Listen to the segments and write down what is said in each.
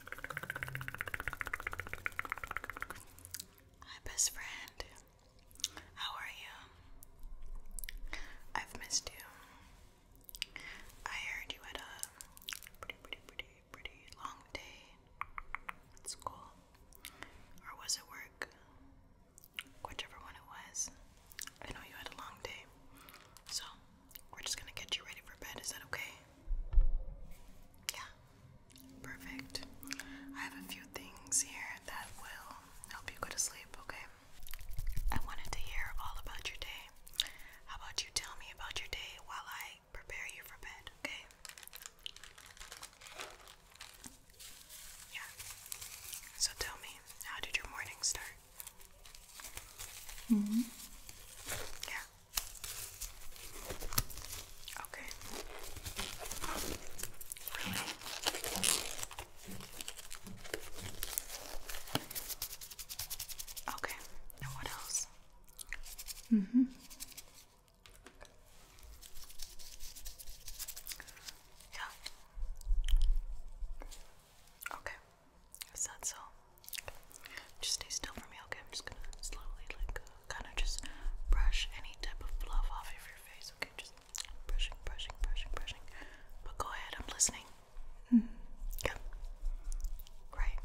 Hi, best friend. How are you? I've missed you. I heard you had a pretty, pretty, pretty, pretty long day at school. Or was it work? Whichever one it was. I know you had a long day. So, we're just gonna get you ready for bed. Is that okay? Yeah. Perfect. I have a few things here that will help you go to sleep, okay? I wanted to hear all about your day. How about you tell me about your day while I prepare you for bed, okay? Yeah. So tell me, how did your morning start? Mm hmm. Yeah. Okay. Really? Okay. And what else? Mm-hmm. Yeah. Okay. Is that so? Okay. Just stay still for me, okay? I'm just gonna slowly, like, uh, kind of just brush any type of fluff off of your face, okay? Just brushing, brushing, brushing, brushing. But go ahead, I'm listening. Mm -hmm. Yep. Right.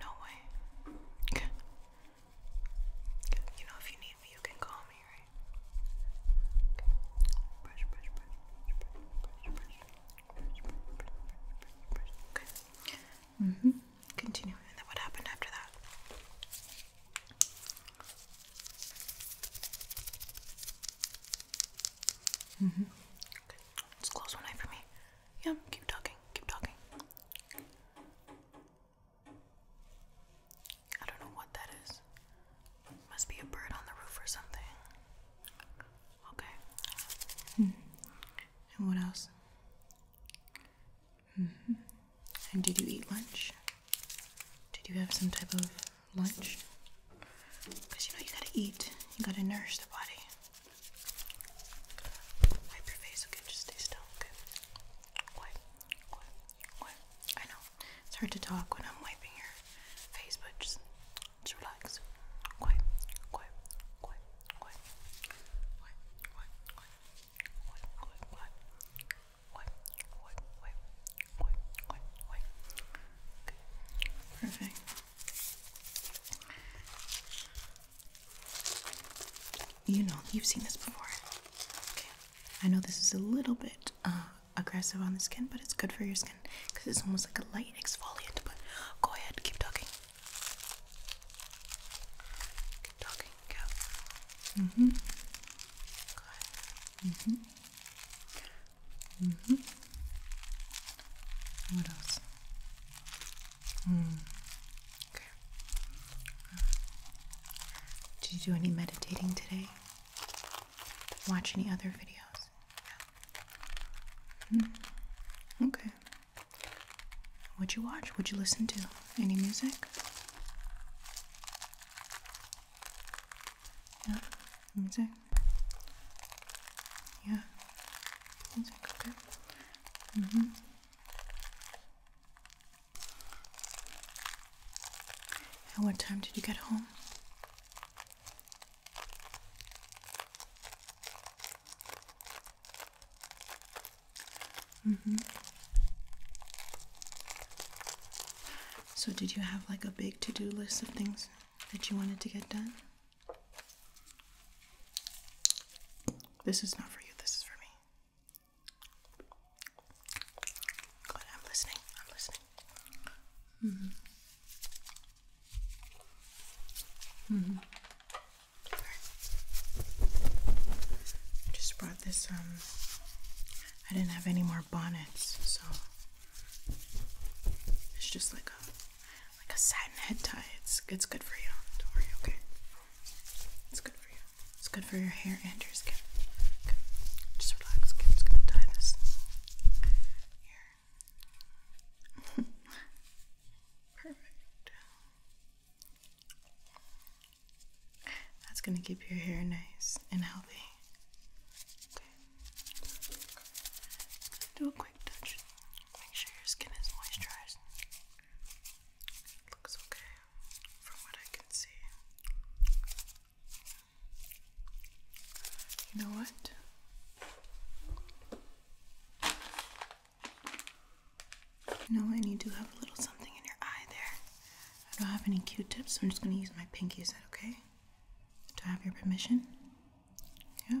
No way. Okay. You know, if you need me, you can call me, right? Okay. Brush, brush, brush. Okay. Mm-hmm. Continue. And then what happened after that? Mm-hmm. Okay. Let's close one eye for me. Yeah, keep talking. Keep talking. I don't know what that is. Must be a bird on the roof or something. Okay. Hmm. And what else? Mm-hmm. And did you eat lunch? Did you have some type of lunch? Because you know you gotta eat, you gotta nourish the body. Wipe your face, okay? Just stay still, okay? I know it's hard to talk when I'm wiping your face, but just, just relax. Quiet, quiet, quiet, quiet, quiet, quiet, quiet, quiet, quiet, quiet, quiet, quiet, quiet, quiet, quiet, quiet. Okay, perfect. You know, you've seen this before. Okay, I know this is a little bit. Uh, aggressive on the skin, but it's good for your skin because it's almost like a light exfoliant. But go ahead, keep talking. Keep talking, go. Mm hmm. Go Mm hmm. Mm hmm. What else? Mm. Okay. Did you do any meditating today? watch any other videos. Hmm. Okay. What'd you watch? would you listen to? Any music? Yeah, music. Yeah, music. Okay. Mhm. Mm at what time did you get home? Mm-hmm. So, did you have like a big to do list of things that you wanted to get done? This is not for you, this is for me. I'm listening. I'm listening. Mm -hmm. Mm mm-hmm. I just brought this, um, I didn't have any more bonnets, so it's just like a like a satin head tie. It's it's good for you. Don't worry, okay? It's good for you. It's good for your hair and your skin. Just relax. Okay, just gonna tie this here. Perfect. That's gonna keep your hair nice and healthy. Okay. Do a quick touch. Make sure your skin is moisturized. Looks okay from what I can see. You know what? You know, I need to have a little something in your eye there. I don't have any q tips, so I'm just going to use my pinky. Is that okay? Do I have your permission? Yeah?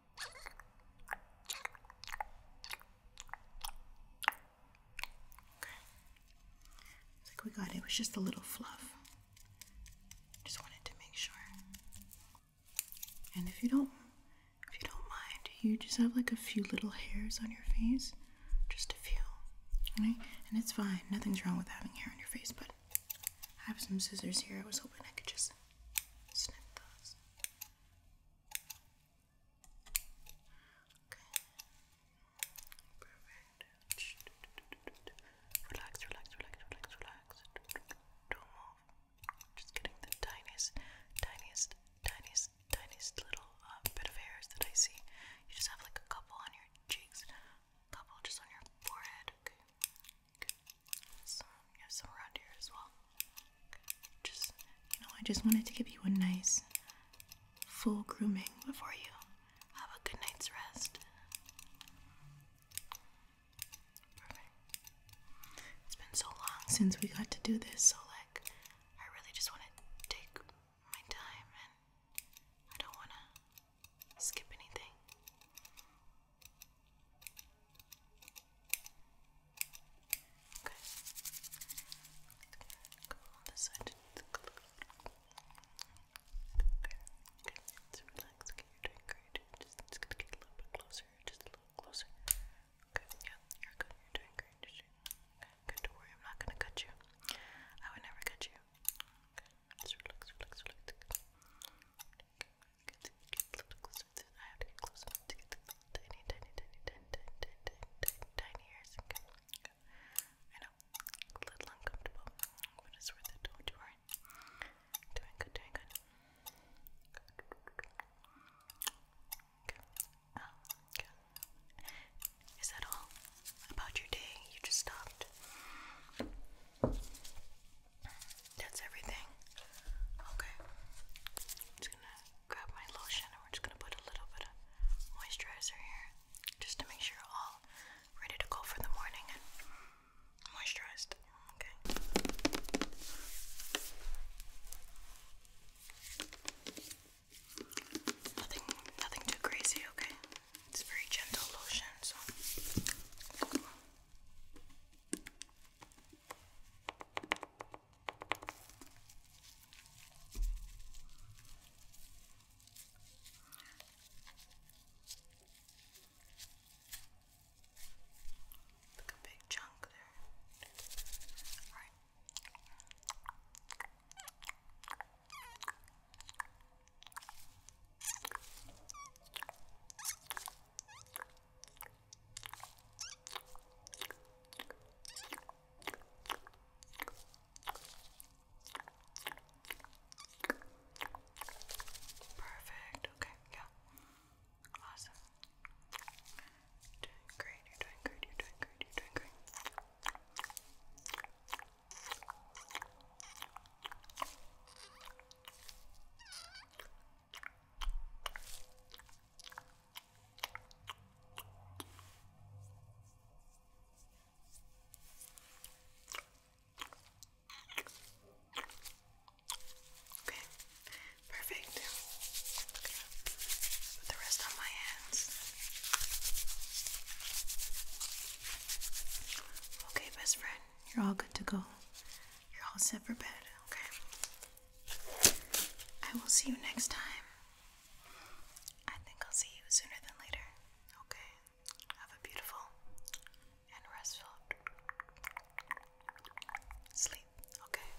It's like we got it. It was just a little fluff. Just wanted to make sure. And if you don't if you don't mind, you just have like a few little hairs on your face. Just a few. Right? And it's fine. Nothing's wrong with having hair on your face, but I have some scissors here. I was hoping I could just snip those. Okay. Perfect. Relax, relax, relax, relax, relax. Don't move. Just getting the tiniest, tiniest, tiniest, tiniest little uh, bit of hairs that I see. You just have like a couple on your cheeks, a couple just on your forehead. Okay we have some around here as well. Just, you know, I just wanted to give you a nice full grooming before you have a good night's rest. Perfect. It's been so long since we got to do this, so like, I really just want to take my time and I don't want to skip anything? Okay. Go on this side. Okay. Okay. So relax. Okay, doing great. Just, just gonna get a little bit closer. Just a little closer. Okay. Yeah. You're good. You're doing great. okay. Don't worry. I'm not gonna cut you. I would never cut you here. Just relax, relax, it. I have to get closer to get the tiny, tiny, tiny, tiny, tiny, tiny, I know, a little uncomfortable, but it's worth it. Don't you worry. Doing good, doing good. Okay. Um, okay. all about your day? You just stopped. That's everything. Okay. just gonna grab my lotion and we're just gonna put a little bit of moisturizer here just to make sure you're all ready to go for the morning and moisturized. Okay. Nothing nothing too crazy, okay? It's very gentle lotion, so. Like a big chunk there. All right. Perfect. Okay, yeah. Awesome. You're doing great, you're doing great, you're doing great, you're doing great. Okay, perfect. Okay. Put the rest on my Okay, best friend, you're all good to go. You're all set for bed, okay? I will see you next time. I think I'll see you sooner than later, okay? Have a beautiful and restful sleep, okay?